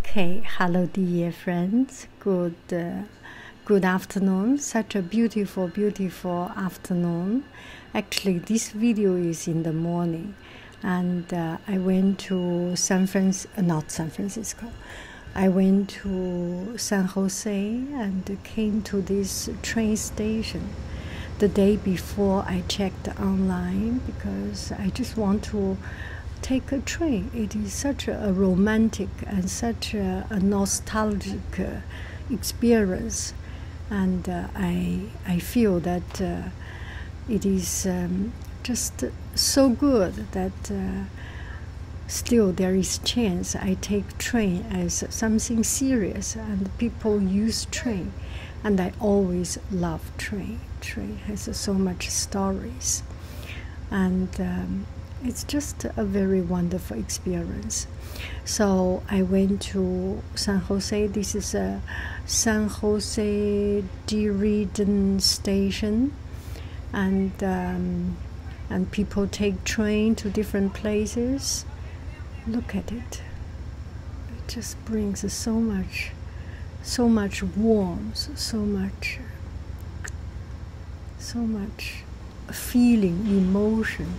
Okay, hello dear friends. Good uh, good afternoon. Such a beautiful beautiful afternoon. Actually, this video is in the morning and uh, I went to San Francisco, not San Francisco. I went to San Jose and came to this train station the day before I checked online because I just want to take a train. It is such a romantic and such a, nostalgic uh, experience, and uh, I I feel that uh, it is um, just so good that. Still, there is chance I take train as something serious, and people use train and I always love train. Train has so much stories, and um, it's just a very wonderful experience. So I went to San Jose. This is a San Jose Deridan station, and um, and people take train to different places. Look at it. just brings so much so much warmth so much so much feeling emotion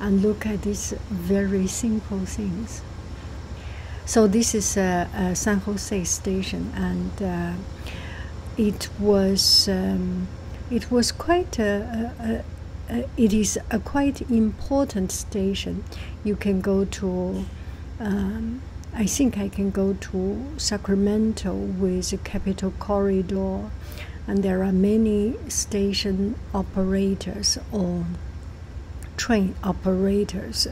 and look at these very simple things so this is uh, uh, san jose station and uh, it was um, it was quite a, it is a quite important station. You can go to um, I think I can go to Sacramento with a Capital Corridor, and there are many station operators or train operators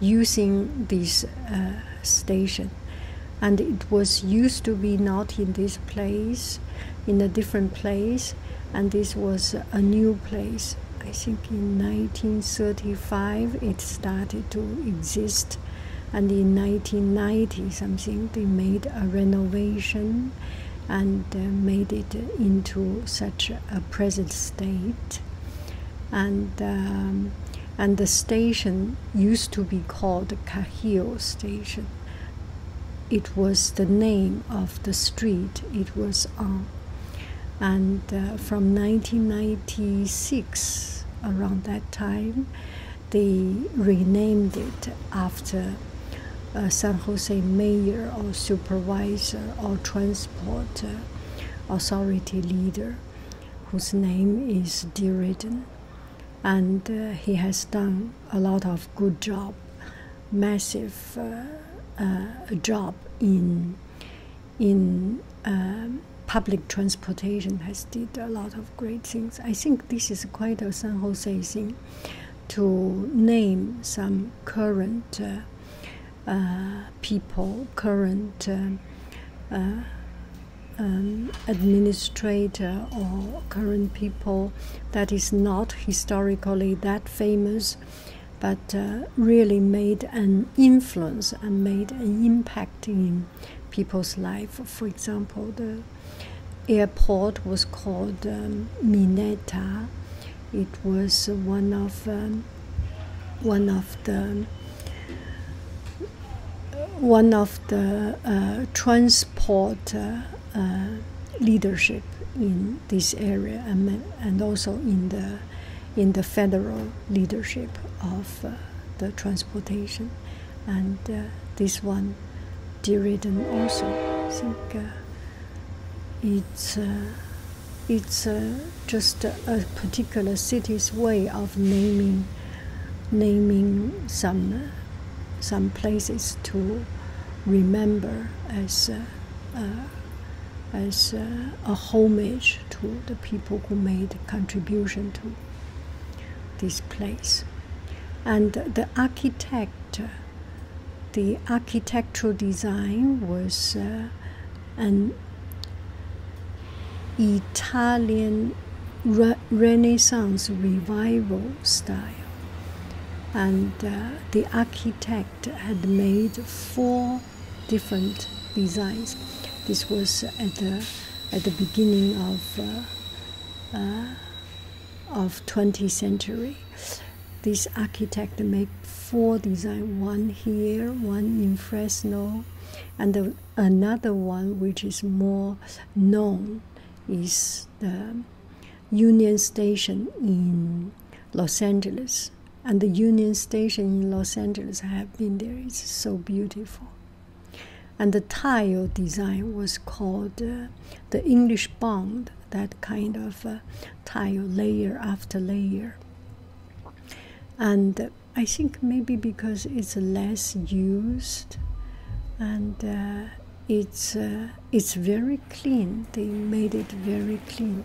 using this uh, station. And it was used to be not in this place, in a different place, and this was a new place. I think in 1935 it started to exist, and in 1990 something they made a renovation and uh, made it into such a present state. And um, and the station used to be called Cahill Station. It was the name of the street it was on and uh, from 1996 around that time they renamed it after uh, san jose mayor or supervisor or transport uh, authority leader whose name is deridden and he has done a lot of good job massive uh, job uh, in in um, public transportation has did a lot of great things. I think this is quite a San Jose thing to name some current uh, uh, people, current um, administrator or current people that is not historically that famous, but uh, really made an influence and made an impact in people's life. For example, the airport was called um, Mineta. It was one of um, one of the one of the uh, transport uh, leadership in this area and, also in the, in the federal leadership of uh, the transportation. And uh, this one, Derrida also, I think uh, it's, it's just a particular city's way of naming, naming some some places to remember as uh, uh, as uh, a homage to the people who made contribution to this place and the architect the architectural design was an Italian Renaissance revival style and uh, the architect had made four different designs. This was at the, at the beginning of uh, uh, of 20th century. This architect made four designs: one here, one in Fresno, and another one which is more known is the Union Station in Los Angeles. And the Union Station in Los Angeles, I have been there, it's so beautiful. And the tile design was called uh, the English bond, that kind of uh, tile layer after layer. And uh, I think maybe because it's less used and it's uh, it's very clean. They made it very clean.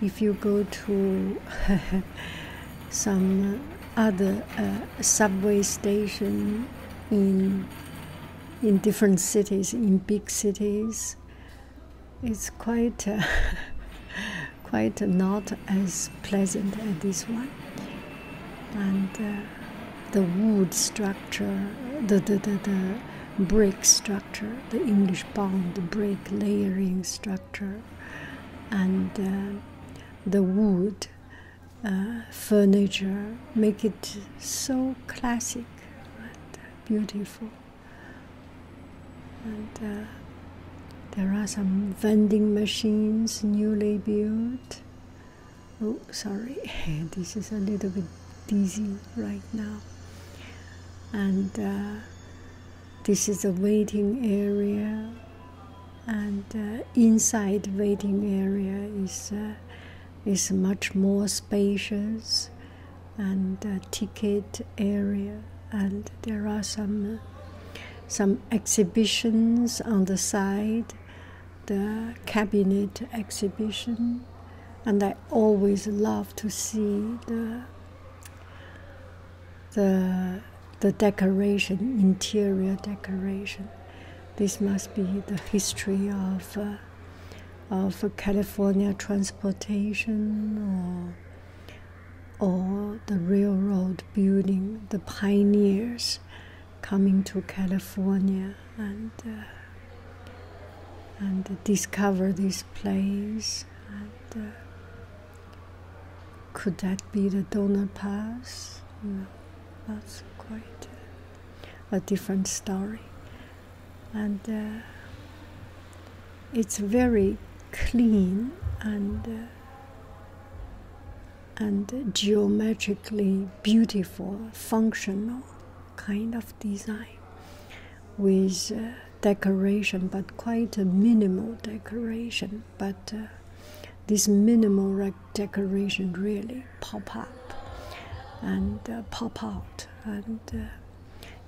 If you go to some other uh, subway station in in different cities, in big cities, it's quite uh, quite not as pleasant as this one and uh, the wood structure, the, the, the, brick structure, the English bound brick layering structure, and uh, the wood uh, furniture make it so classic and beautiful. And there are some vending machines newly built oh sorry this is a little bit dizzy right now and uh, this is a waiting area and uh, inside waiting area is uh, is much more spacious and uh, ticket area and there are some uh, some exhibitions on the side the cabinet exhibition, and I always love to see the the the decoration, interior decoration. This must be the history of uh, of California transportation or or the railroad building, the pioneers coming to California and uh, and discover this place. And, uh, could that be the Donner Pass? that's quite a, different story. And uh, it's very clean and and geometrically beautiful, functional kind of design with uh, decoration, but quite a minimal decoration. But uh, this minimal decoration really pop up and uh, pop out, and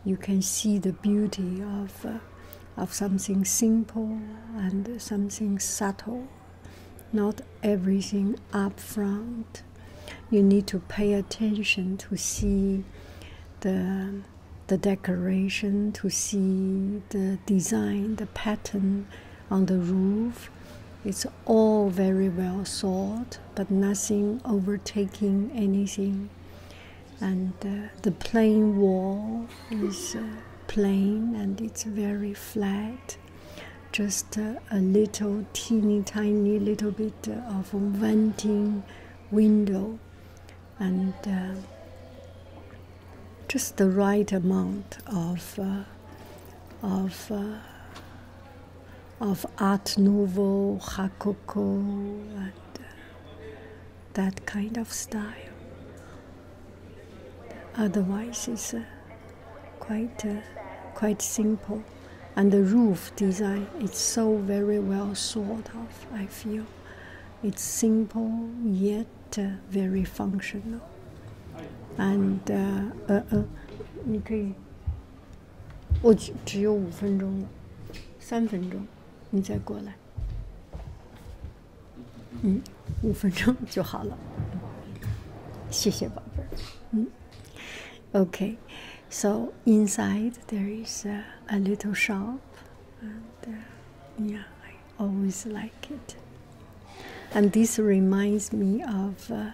you can see the beauty of of something simple and something subtle. Not everything up front. You need to pay attention to see the the decoration, to see the design, the pattern on the roof. It's all very well thought, but nothing overtaking anything. And uh, the plain wall is. Uh, plain and it's very flat just a little teeny tiny little bit of venting window and uh, just the right amount of uh, of uh, of art nouveau, hakoko, that kind of style. Otherwise, it's uh, quite uh, quite simple, and the roof design it's so very well thought of. I feel it's simple yet uh, very functional, and uh, uh, uh 你可以，我只只有五分钟了，三分钟，你再过来。嗯，五分钟就好了。谢谢宝贝儿。嗯，Okay, so inside there is a, little shop, and uh, yeah, I always like it. And this reminds me of uh,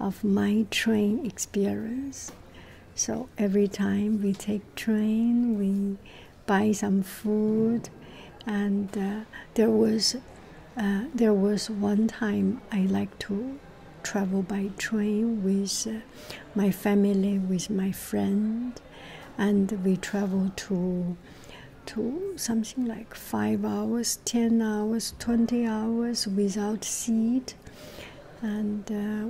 of my train experience. So every time we take train, we buy some food, and uh, there was uh, there was one time I like to travel by train with uh, my family, with my friend, and we travel to to something like five hours, ten hours, twenty hours without seat, and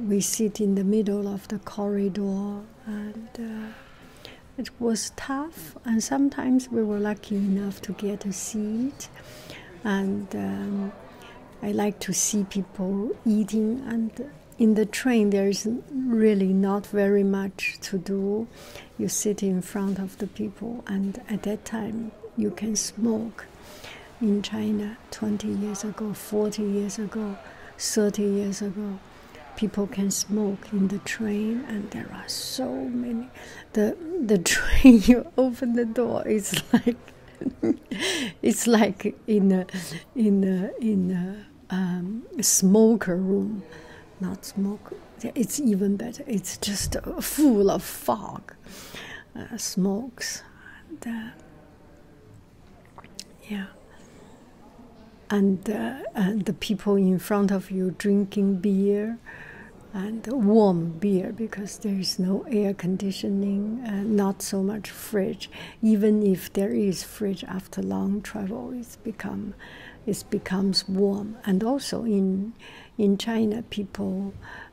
we sit in the middle of the corridor and uh, it was tough and sometimes we were lucky enough to get a seat and um, i like to see people eating and in the train there is really not very much to do you sit in front of the people and at that time you can smoke in china 20 years ago, 40 years ago, 30 years ago. People can smoke in the train, and there are so many. The, the train, you open the door, it's like. it's like in a in a in a, um, smoker room, not smoke. It's even better. It's just full of fog, uh, smokes. Uh, yeah. And, uh, and the people in front of you drinking beer and warm beer because there is no air conditioning and uh, not so much fridge. Even if there is fridge after long travel, it's become it becomes warm. And also in in China, people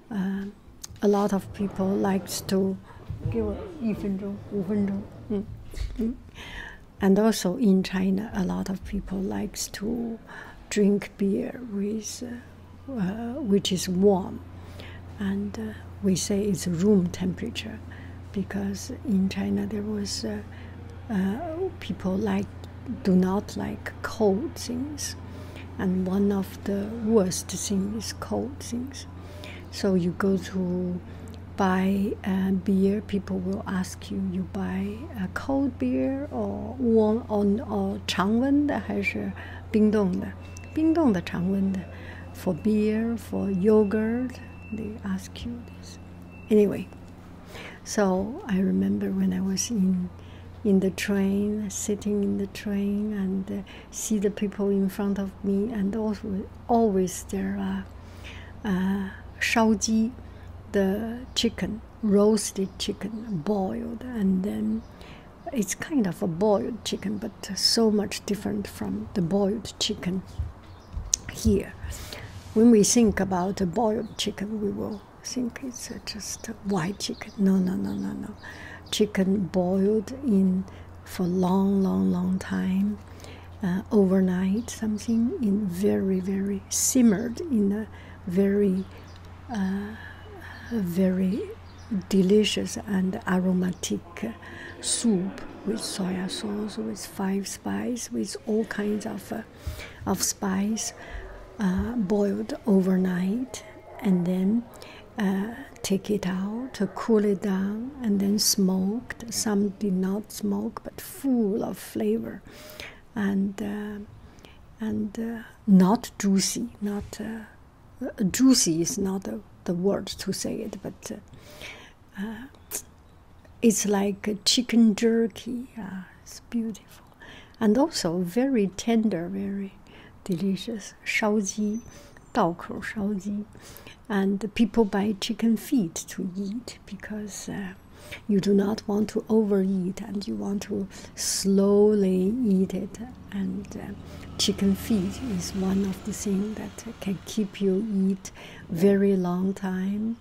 um, a lot of people likes to give mm. Mm. And also in China, a lot of people likes to drink beer with, uh, uh, which is warm, and uh, we say it's room temperature, because in China there was people like do not like cold things, and one of the worst things is cold things. So you go to buy uh, beer, people will ask you, you buy a cold beer or warm on or 常温的还是冰冻的？冰冻的常温的，for beer, for yogurt, they ask you this. Anyway, so I remember when I was in in the train, sitting in the train, and uh, see the people in front of me, and also always there are uh, shaoji, the chicken, roasted chicken, boiled, and then it's kind of a boiled chicken, but so much different from the boiled chicken here. When we think about a boiled chicken, we will think it's just white chicken. No, no, no, no, no chicken boiled in for long, long, long time, uh, overnight, something in very, very simmered in a very, uh, very delicious and aromatic soup with soy sauce, with five spice, with all kinds of, uh, of spice, boiled overnight, and then uh, take it out, cool it down, and then smoked. Some did not smoke, but full of flavor, and uh, and uh, not juicy. Not juicy is not the, the word to say it, but it's like chicken jerky. Ah, it's beautiful. And also very tender, very delicious. Shao ji, daokou shao ji. And people buy chicken feet to eat because uh, you do not want to overeat and you want to slowly eat it. And uh, chicken feet is one of the things that can keep you eat very long time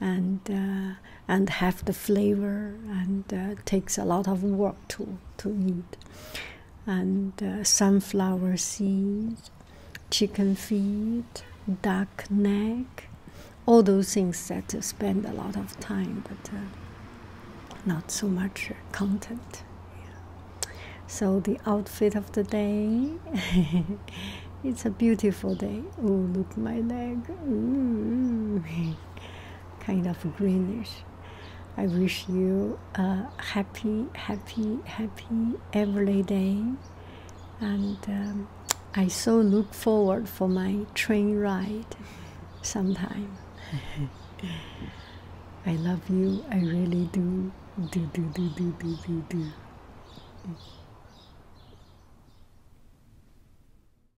and uh, and have the flavor and takes a lot of work lot to to eat, and uh, sunflower seeds, chicken feet, duck neck, all those things that uh, spend a lot of time, but uh, not so much content. So the outfit of the day. It's a beautiful day. Oh, look my leg. kind of greenish. I wish you a happy, happy, happy every day, and um, I so look forward for my train ride sometime. I love you. I really do. Do do do do do do do.